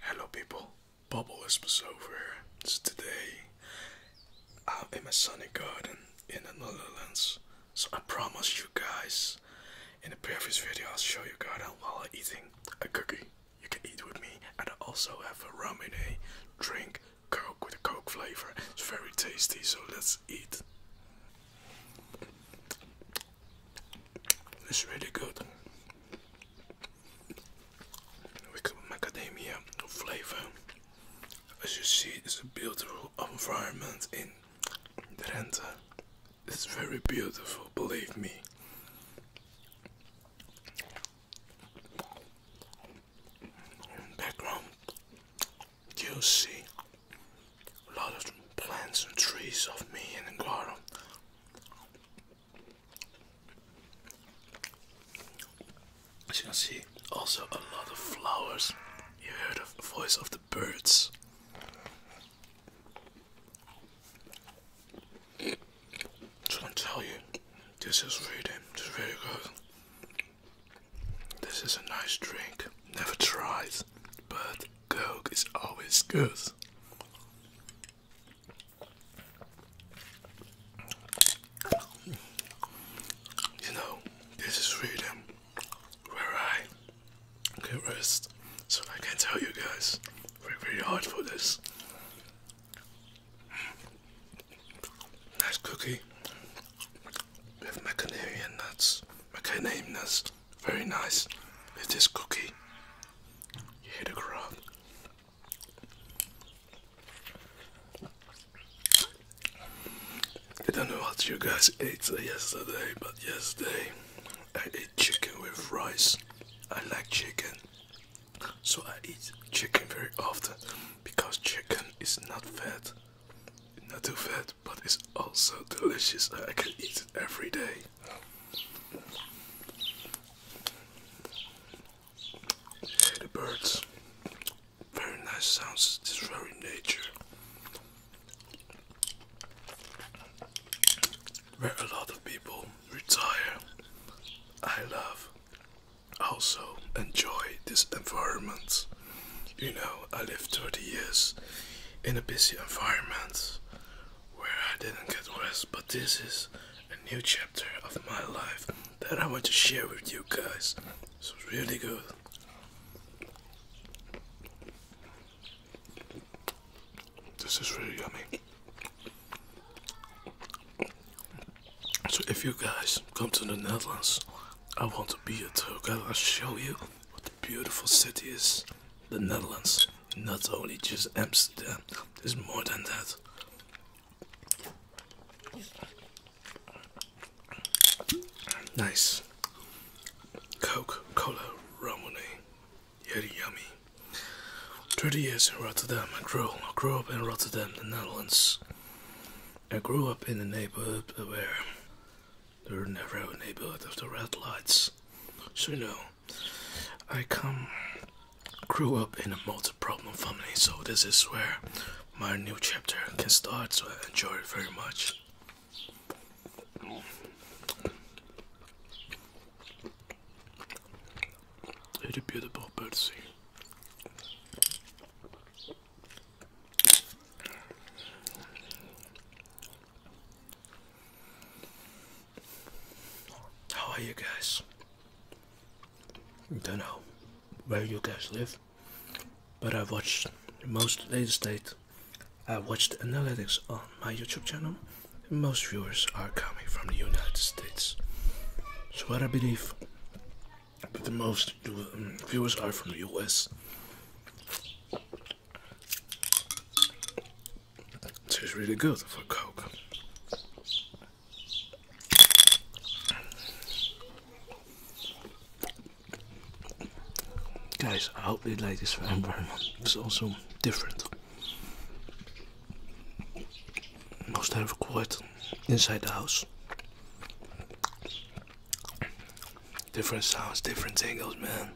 Hello people, Bubble Whispers over here. It's today I'm in my sunny garden in the Netherlands. So I promise you guys in the previous video I'll show you garden while I'm eating a cookie. You can eat with me and I also have a rum and a drink coke with a coke flavor. It's very tasty so let's eat. It's really good. With macadamia flavor. As you see, it's a beautiful environment in Drenthe. It's very beautiful, believe me. Background, you see a lot of plants and trees of me in the garden. As you can see, also a lot of flowers. You heard the voice of the birds. So I tell you, this is really, this is really good. This is a nice drink. Never tried, but Coke is always good. You know, this is freedom where I can rest. So I can tell you guys, we're really hard for this. Nice cookie with my Canarian nuts, my Canadian nuts, very nice with this cookie. You hear the crowd. I don't know what you guys ate yesterday, but yesterday I ate chicken with rice. I like chicken, so I eat chicken very often because chicken is not fat. Not too fat, but it's also delicious. I can eat it every day. The birds. Very nice sounds. This very nature. Where a lot of people retire. I love also enjoy this environment. You know, I lived 30 years in a busy environment where I didn't get rest, but this is a new chapter of my life that I want to share with you guys. It's really good. This is really yummy. So if you guys come to the Netherlands, I want to be your tour guide. I'll show you what a beautiful city is. The Netherlands, not only just Amsterdam. There's more than that. Nice. Coke, cola, Romani. Yummy, yummy. 30 years in Rotterdam, I grew, I grew up in Rotterdam, the Netherlands. I grew up in a neighborhood where there were never a neighborhood of the red lights. So, you know, I come, grew up in a multi problem family, so this is where my new chapter can start, so I enjoy it very much. It's beautiful bird How are you guys? Don't know where you guys live, but I watched most of late state I watched analytics on my YouTube channel. Most viewers are coming from the United States. So what I believe but the most um, viewers are from the US. It tastes really good for Coke. Guys, I hope you like this environment. It's also different. Most have quite inside the house. Different sounds, different tingles, man.